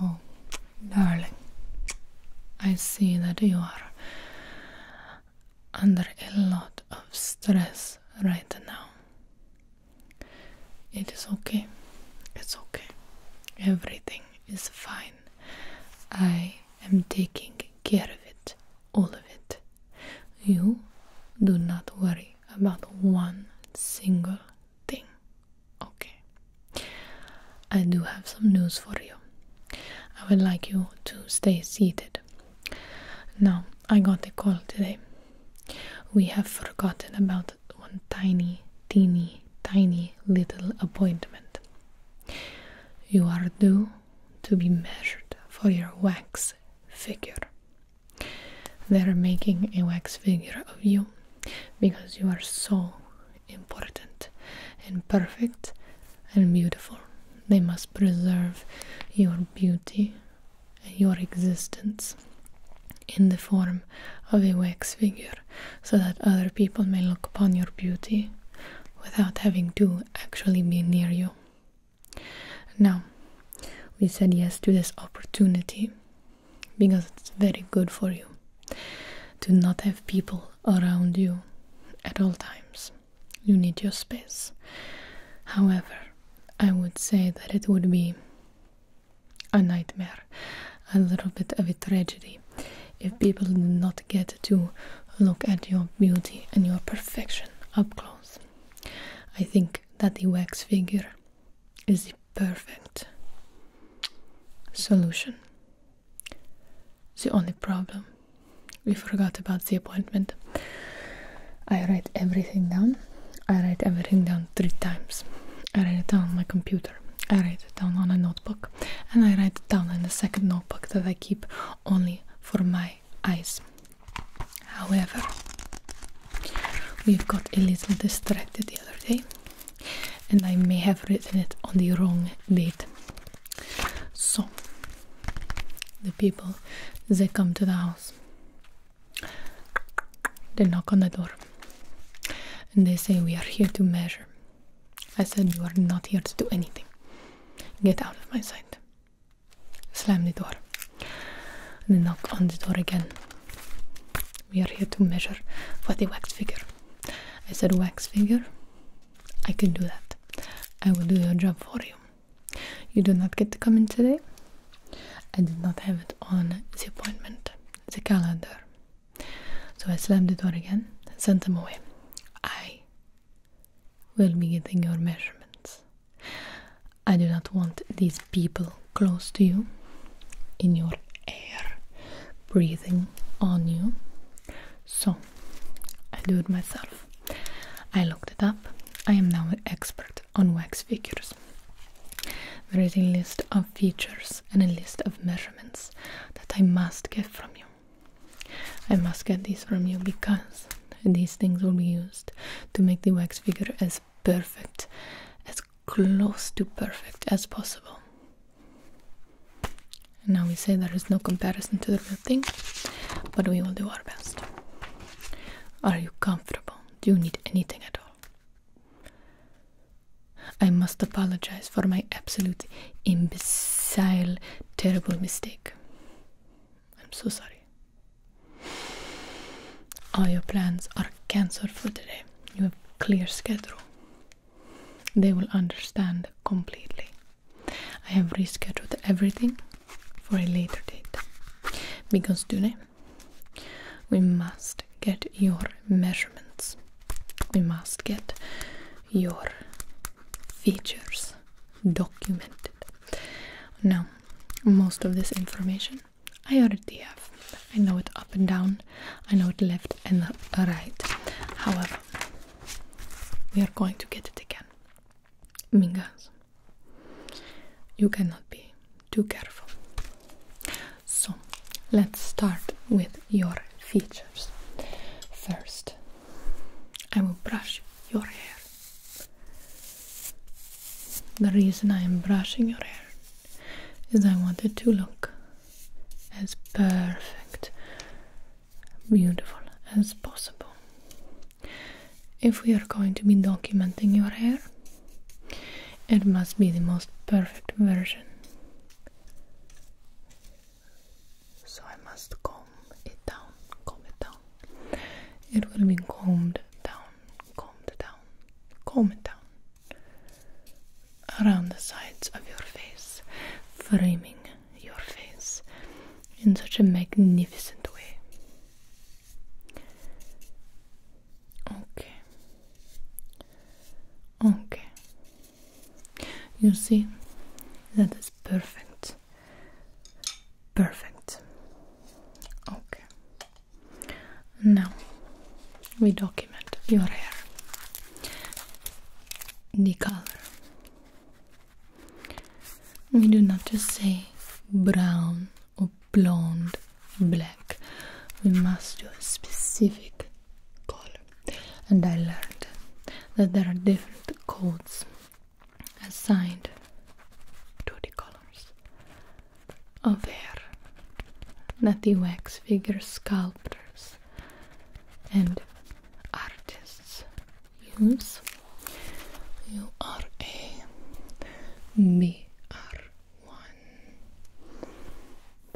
Oh, darling, I see that you are under a lot of stress right now. It is okay, it's okay, everything is fine. I am taking care of it, all of it. You do not worry about one single thing. Okay. I do have some news for you. I would like you to stay seated. Now, I got a call today. We have forgotten about one tiny, teeny, tiny little appointment. You are due to be measured for your wax figure. They're making a wax figure of you because you are so important and perfect and beautiful. They must preserve your beauty and your existence in the form of a wax figure so that other people may look upon your beauty without having to actually be near you. Now, we said yes to this opportunity because it's very good for you to not have people around you at all times. You need your space. However, I would say that it would be a nightmare, a little bit of a tragedy if people did not get to look at your beauty and your perfection up close. I think that the wax figure is the perfect solution. The only problem we forgot about the appointment. I write everything down. I write everything down three times. I write it down on my computer. I write it down on a notebook. And I write it down in a second notebook that I keep only for my eyes. However, we got a little distracted the other day and I may have written it on the wrong date. So the people they come to the house, they knock on the door, and they say, We are here to measure. I said, You are not here to do anything. Get out of my sight. Slam the door. They knock on the door again. We are here to measure for the wax figure. I said wax figure. I can do that. I will do your job for you. You do not get to come in today. I did not have it on the appointment, the calendar. So I slammed the door again, and sent them away. I will be getting your measurements. I do not want these people close to you, in your air, breathing on you. So, I do it myself. I looked it up. I am now an expert on wax figures. There is a list of features and a list of measurements that I must get from you. I must get these from you because these things will be used to make the wax figure as perfect, as close to perfect as possible. now we say there is no comparison to the real thing, but we will do our best. Are you comfortable? Do you need anything at all? I must apologize for my absolute imbecile, terrible mistake. I'm so sorry. All your plans are cancelled for today you have clear schedule they will understand completely i have rescheduled everything for a later date because today we must get your measurements we must get your features documented now most of this information I already have. I know it up and down. I know it left and right. However, we are going to get it again. Mingas, you cannot be too careful. So, let's start with your features. First, I will brush your hair. The reason I am brushing your hair is I want it to look as perfect, beautiful as possible. If we are going to be documenting your hair, it must be the most perfect version. So I must comb it down, comb it down. It will be combed down calmed down, calm it down around the sides of your face, framing your face in such a magnificent way. Okay. Okay. You see, that is perfect. Perfect. Okay. Now we document your hair, the color. We do not just say brown or blonde, black. We must do a specific color. And I learned that there are different codes assigned to the colors aware that the wax figure sculptors and artists use. You are a BR1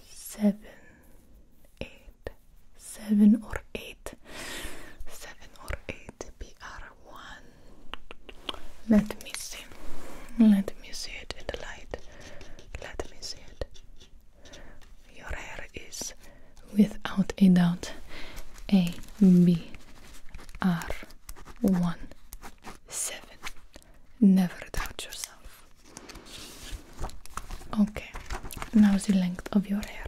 seven eight seven or eight seven or eight BR one. Let me see. Let me see it in the light. Let me see it. Your hair is without a doubt A B R one seven. Never doubt yourself. Okay, now the length of your hair.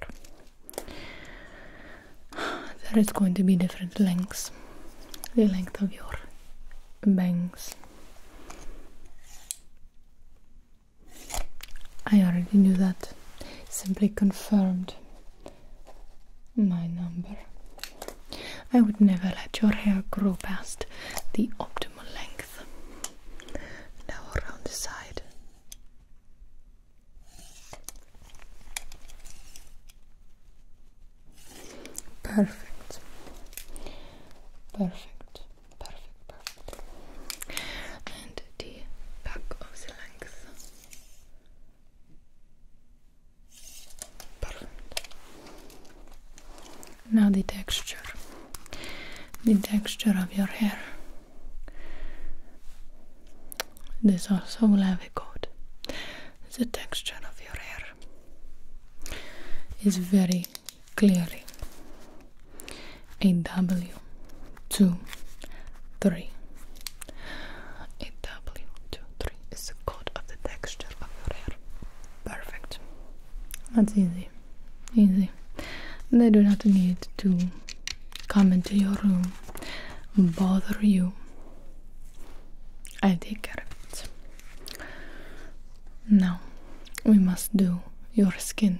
There is going to be different lengths the length of your bangs. I already knew that, simply confirmed my number. I would never let your hair grow past the optimal length. Now around the side. Perfect. Perfect. Perfect. Perfect. And the back of the length. Perfect. Now the texture. The texture of your hair. This also will have a code. The texture of of is very clearly a W two three. A W two three is the code of the texture of your hair. Perfect. That's easy. Easy. They do not need to come into your room, bother you, I'll take care of it. Now we must do your skin.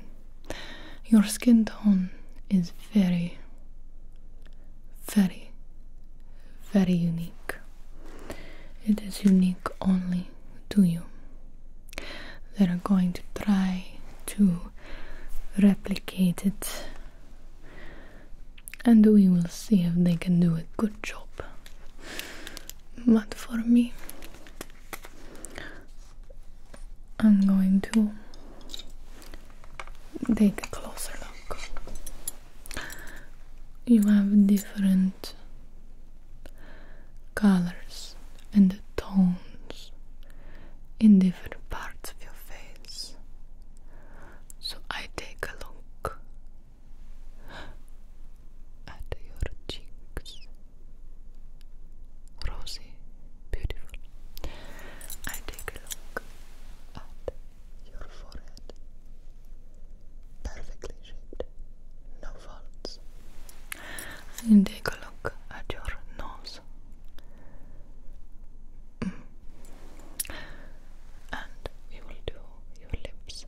Your skin tone is very, very, very unique. It is unique only to you. They're going to try to replicate it and we will see if they can do a good job. But for me, I'm going to take a closer look. You have different colors and tones in different parts of your face. So I take a look at your cheeks. Rosy, beautiful. I take a look at your forehead. Perfectly shaped, no folds. And take a look at your nose. Mm and we will do your lips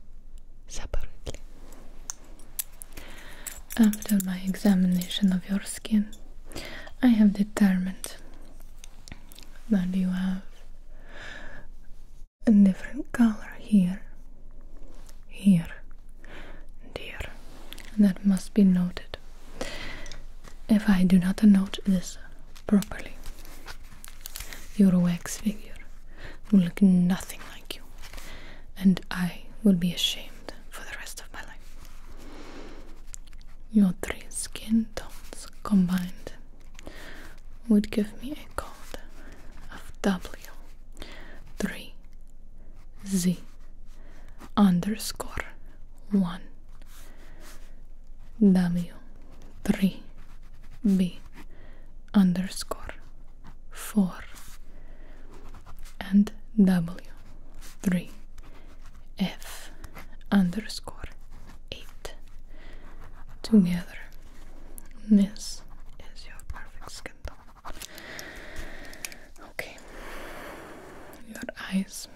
separately. After my examination of your skin, I have determined that you have a different color here, here, and here. And that must be noted. If I do not note this, properly. your wax figure will look nothing like you, and I will be ashamed for the rest of my life. Your three skin tones combined would give me a code of W3Z underscore 1. W3B underscore 4 and W3F underscore 8 together. This is your perfect skin tone. Okay, your eyes.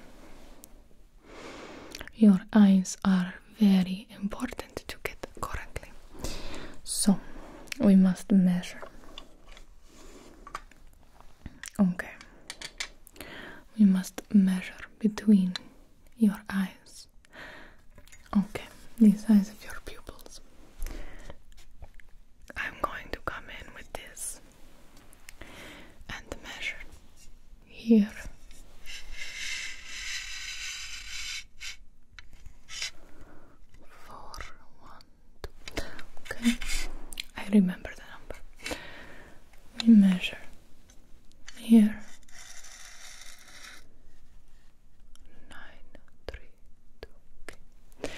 Your eyes are very important to get correctly. So we must measure. Okay. We must measure between your eyes. Okay, the size of your pupils. I'm going to come in with this and measure here. Four, one, two. Okay, I remember the number. We measure here nine, three, two,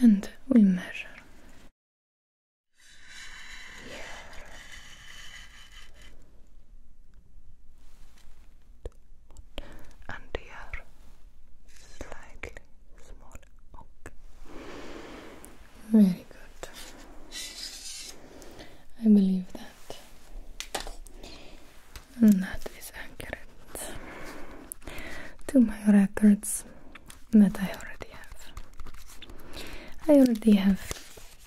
and we measure and the air slightly smaller. Okay. Very good. I believe that. And that is accurate to my records that I already have. I already have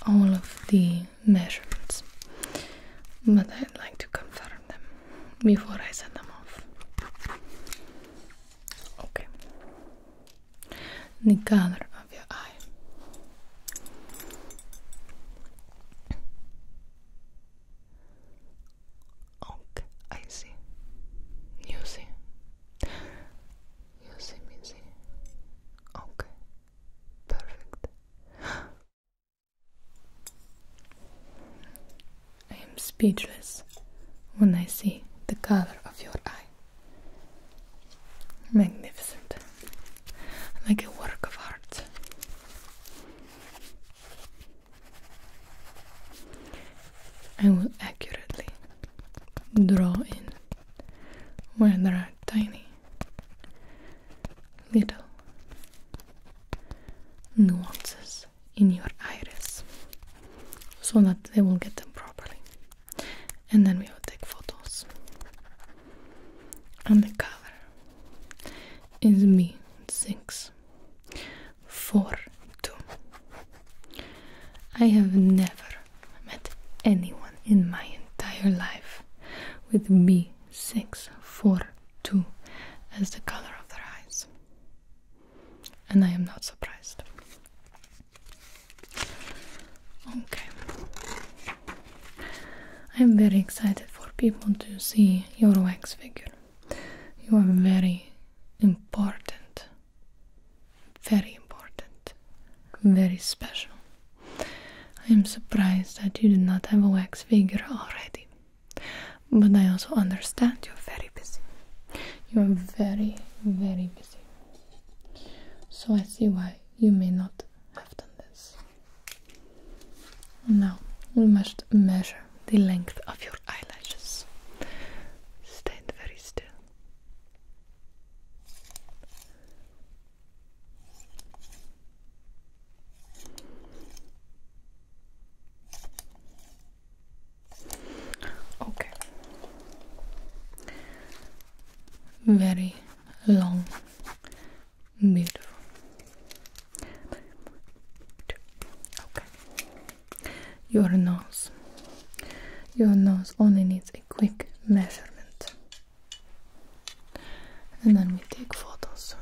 all of the measurements, but I'd like to confirm them before I send them off. Okay. The color of your eye. Okay, I see. You see. Yosemite. Okay, perfect. I am speechless when I see the color of your eye. Magnificent, like a work of art. I will accurately draw in where there are tiny little nuances in your iris so that they will get them properly and then we will take photos and the color is b six four two I have never met anyone in my entire life with B642 as the color of their eyes. And I am not surprised. Okay. I am very excited for people to see your wax figure. You are very important very important, very special. I am surprised that you do not have a wax figure already, but I also understand you're very busy. You are very, very busy. So I see why you may not have done this. Now we must measure the length of your eyelashes. Stand very still. Okay. Very long, beautiful. Okay your nose. Your nose only needs a quick measurement. And then we take photos.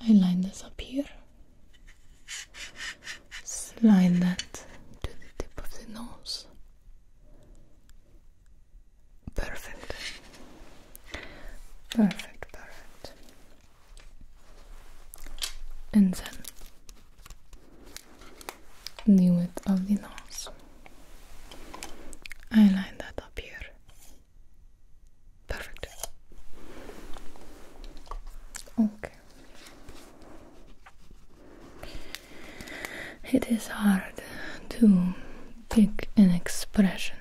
I line this up here, slide that to the tip of the nose. Perfect. Perfect, perfect. And then the width of the nose. I line that up here. Perfect. Okay. It is hard to pick an expression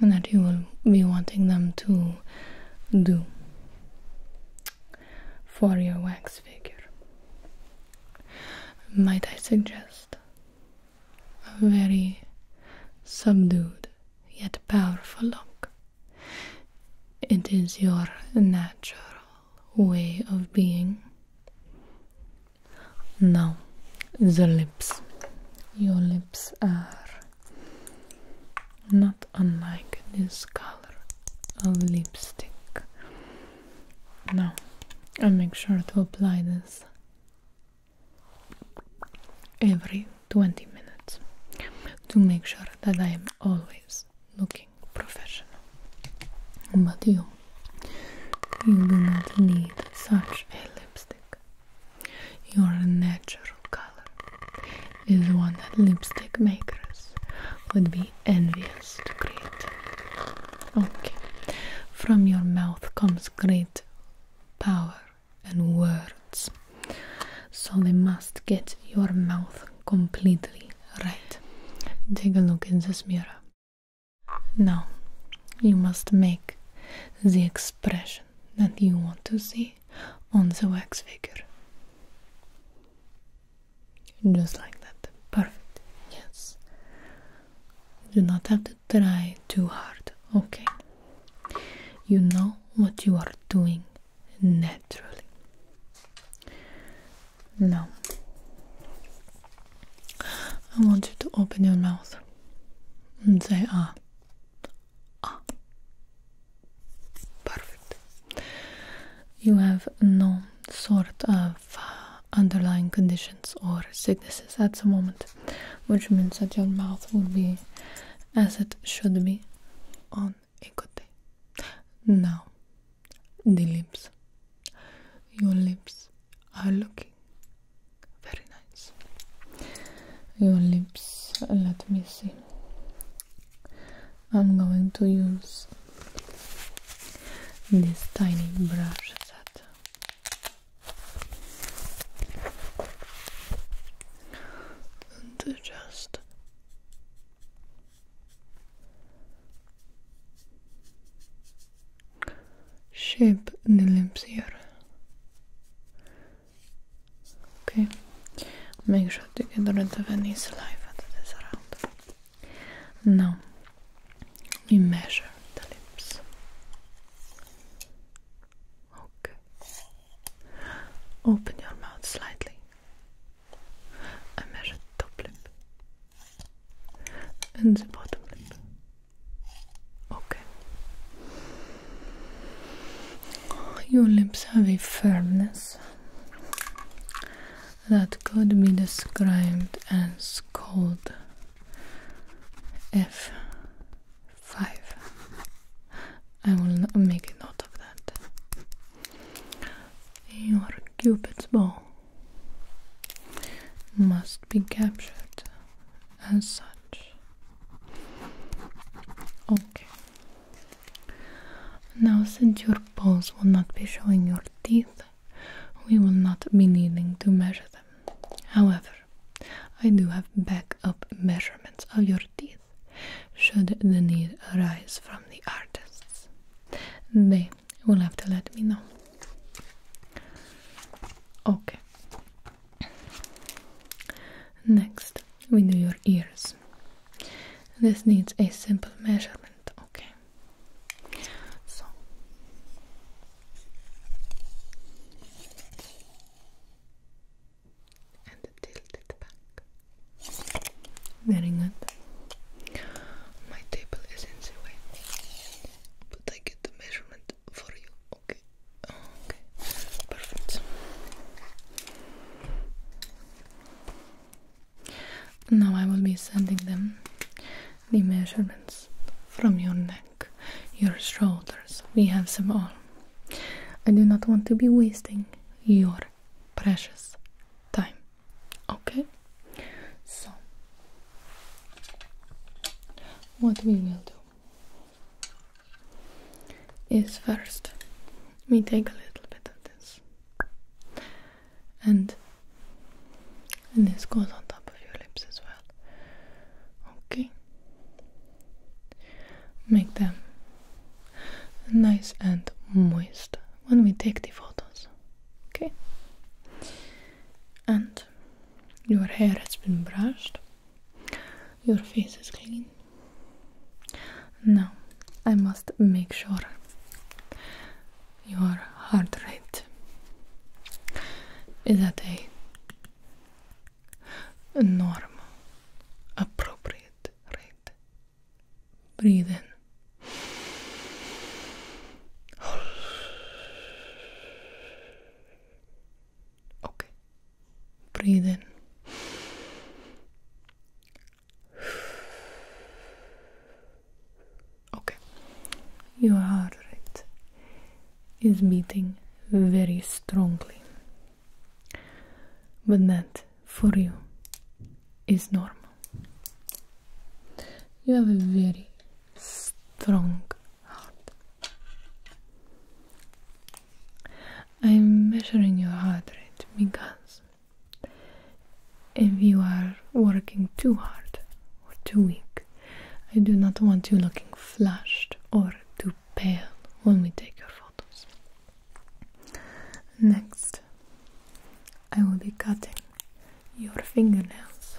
that you will be wanting them to do for your wax figure. Might I suggest a very subdued yet powerful look? It is your natural way of being. Now, the lips. Your lips are not unlike this color of lipstick. Now, i make sure to apply this every 20 minutes to make sure that I am always looking professional. But you, you do not need such a lipstick. Your natural color is one that lipstick makers would be envious to create. Okay, from your mouth comes great power and words, so they must get your mouth completely right. Take a look in this mirror. Now, you must make the expression that you want to see on the wax figure. Just like that. Perfect. Yes. You do not have to try too hard. Okay. You know what you are doing naturally. No. I want you to open your mouth and say ah. Ah. Perfect. You have no sort of uh, underlying conditions or sicknesses at the moment, which means that your mouth will be as it should be on a good day. Now, the lips. Your lips are looking very nice. Your lips, let me see. I'm going to use this tiny brush that and just shape the lips here Okay, make sure to get rid of any saliva that is around. Now we measure the lips. Okay. Open your mouth slightly. I measure top lip and the bottom lip. Okay. Your lips have a firmness that could be described as called F5. I will make a note of that. Your Cupid's bow must be captured as such. Okay. Now, since your paws will not be showing your teeth, we will not be needing to measure them. However, I do have backup measurements of your teeth should the need arise from the artists. They will have to let me know. Okay. Next, with your ears. This needs a simple measurement, okay? So and tilt it back. Very good. My table is in the way, but I get the measurement for you. Okay. Okay. Perfect. Now I will be sending them the measurements from your neck, your shoulders. We have them all. I do not want to be wasting your precious time. Okay? So, what we will do is first we take a little bit of this and and this goes on top of your lips as well okay make them nice and moist when we take the photos okay and your hair has been brushed your face is clean pain. Now I must make sure your heart rate is at a normal, appropriate rate. Breathe in. Okay, Breathe in. Okay, your heart rate is beating very strongly, but that for you is normal. You have a very strong heart. I'm measuring your heart rate because if you are working too hard or too weak, I do not want you looking flushed or too pale when we take your photos. Next, I will be cutting your fingernails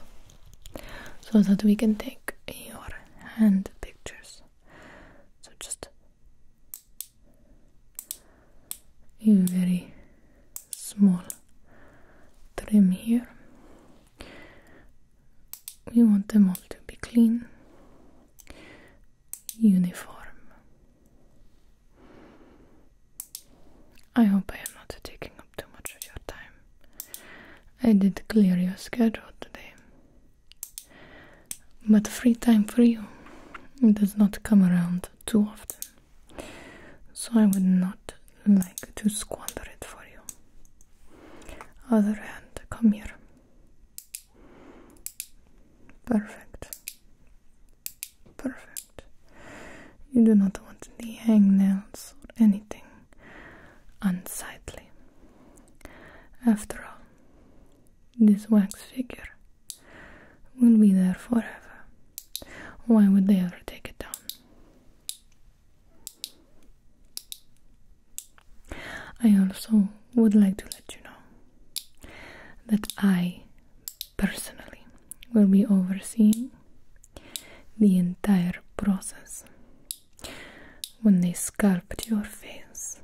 so that we can take your hand pictures. So just a very small trim here. We want them all to be clean, uniform. I hope I am not taking up too much of your time. I did clear your schedule today, but free time for you does not come around too often. So I would not like to squander it for you. Other hand, come here. Perfect. Perfect. You do not want any hangnails or anything unsightly. After all, this wax figure will be there forever. Why would they ever take it down? I also would like to let you know that I personally will be overseeing the entire process when they sculpt your face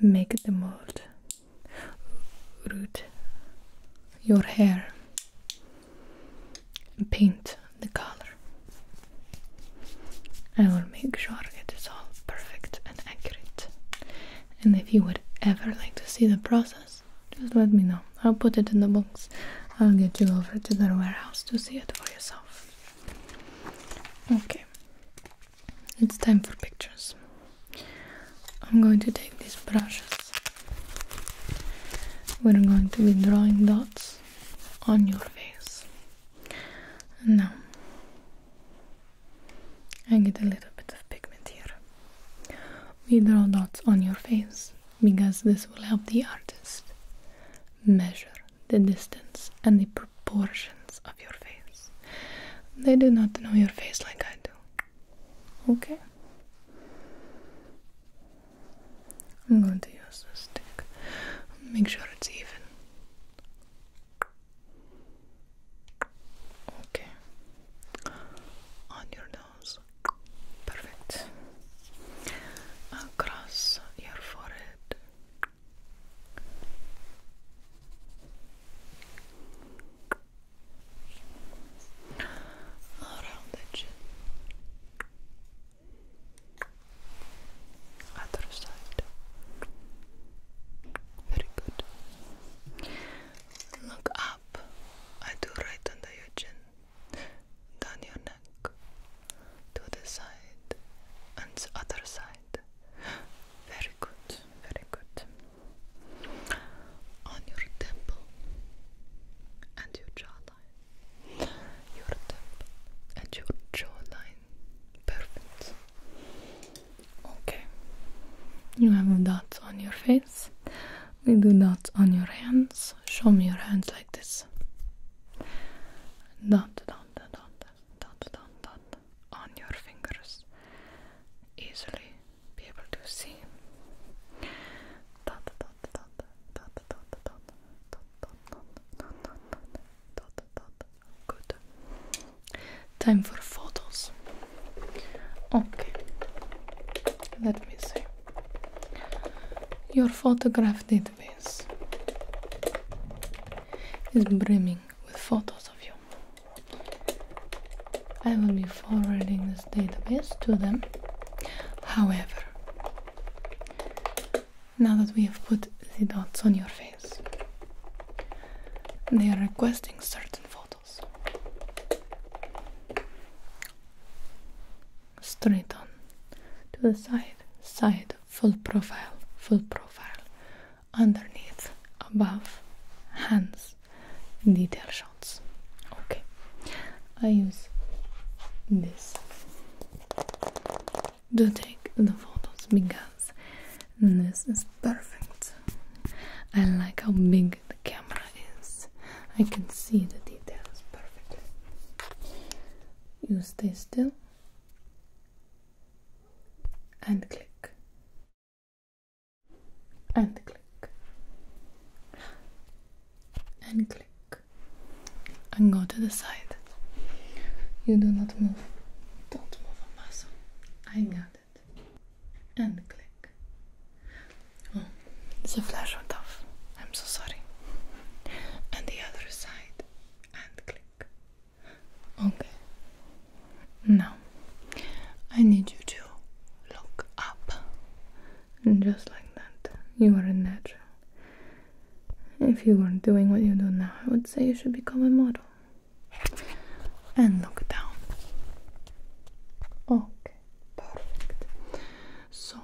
make the mold root your hair paint the color I will make sure it is all perfect and accurate and if you would ever like to see the process just let me know I'll put it in the box I'll get you over to the warehouse to see it for yourself okay it's time for pictures. I'm going to take these brushes. We're going to be drawing dots on your face. And now I get a little bit of pigment here. We draw dots on your face because this will help the artist measure the distance and the proportions of your face. They do not know your face like I do. Okay? I'm going to use a stick. Make sure it's even. Okay. On your nose. Perfect. Across your forehead around the chin other side very good look up I do right under your chin down your neck to the side and the other side. Very good, very good. On your temple and your jawline. Your temple and your jawline. Perfect. Okay. You have dots on your face. We do dots on your hands. Show me your hands like this. Dot, dot, dot, dot dot dot on your fingers easily be able to see dot dot dot dot dot dot dot dot dot dot dot dot good time for photos okay let me see your photograph did database is brimming with photos of you. I will be forwarding this database to them. However, now that we have put the dots on your face, they are requesting certain photos. Straight on to the side, side full profile, full profile, underneath, above, hands, detail shots. Okay, I use this to take the photos because this is perfect. I like how big the camera is. I can see the details perfectly. You stay still and click and click and click and go to the side. You do not move. Don't move a muscle. I got it. And click. Oh, the flash went off. I'm so sorry. And the other side and click. Okay. Now, I need you to look up. And just like that, you are a natural. If you weren't doing what you do now, I would say you should become a model. And look down. Okay, perfect. So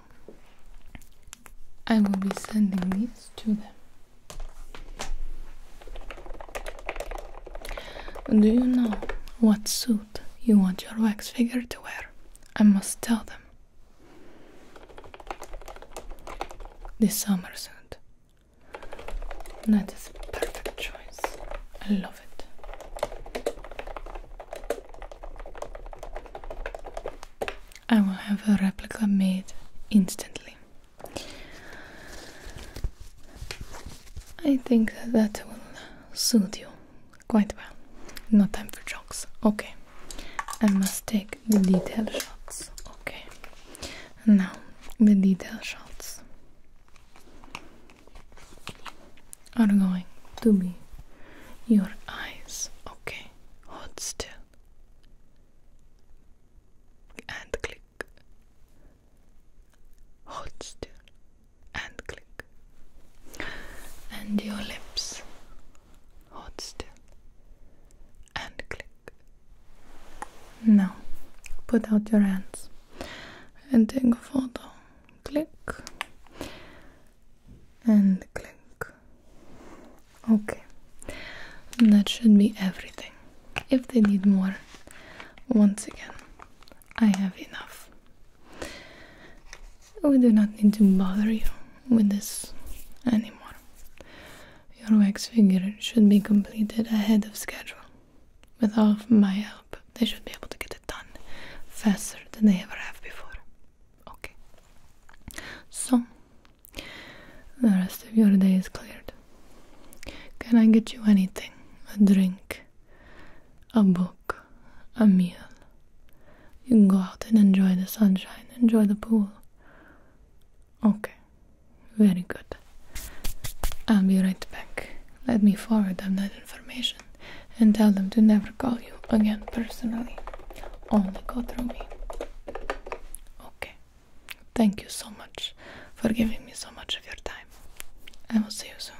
I will be sending these to them. Do you know what suit you want your wax figure to wear? I must tell them. The summer suit. That is a perfect choice. I love it. I will have a replica made instantly. I think that will suit you quite well. No time for jokes. Okay. I must take the detail shots. Okay. Now, the detail shots are going to be your eyes. Okay. Hold still and click. Hold still and click. And your lips. Hold still and click. Now, put out your hands and take a photo. Click and click. Okay, that should be everything. If they need more, once again, I have enough. We do not need to bother you with this anymore. Your wax figure should be completed ahead of schedule. With all of my help, they should be able to get it done faster than they ever have before. Okay. So, the rest of your day is cleared. Can I get you anything? A drink, a book, a meal. You can go out and enjoy the sunshine, enjoy the pool. Okay, very good. I'll be right back. Let me forward them that information and tell them to never call you again personally. Only go through me. Okay. Thank you so much for giving me so much of your time. I will see you soon.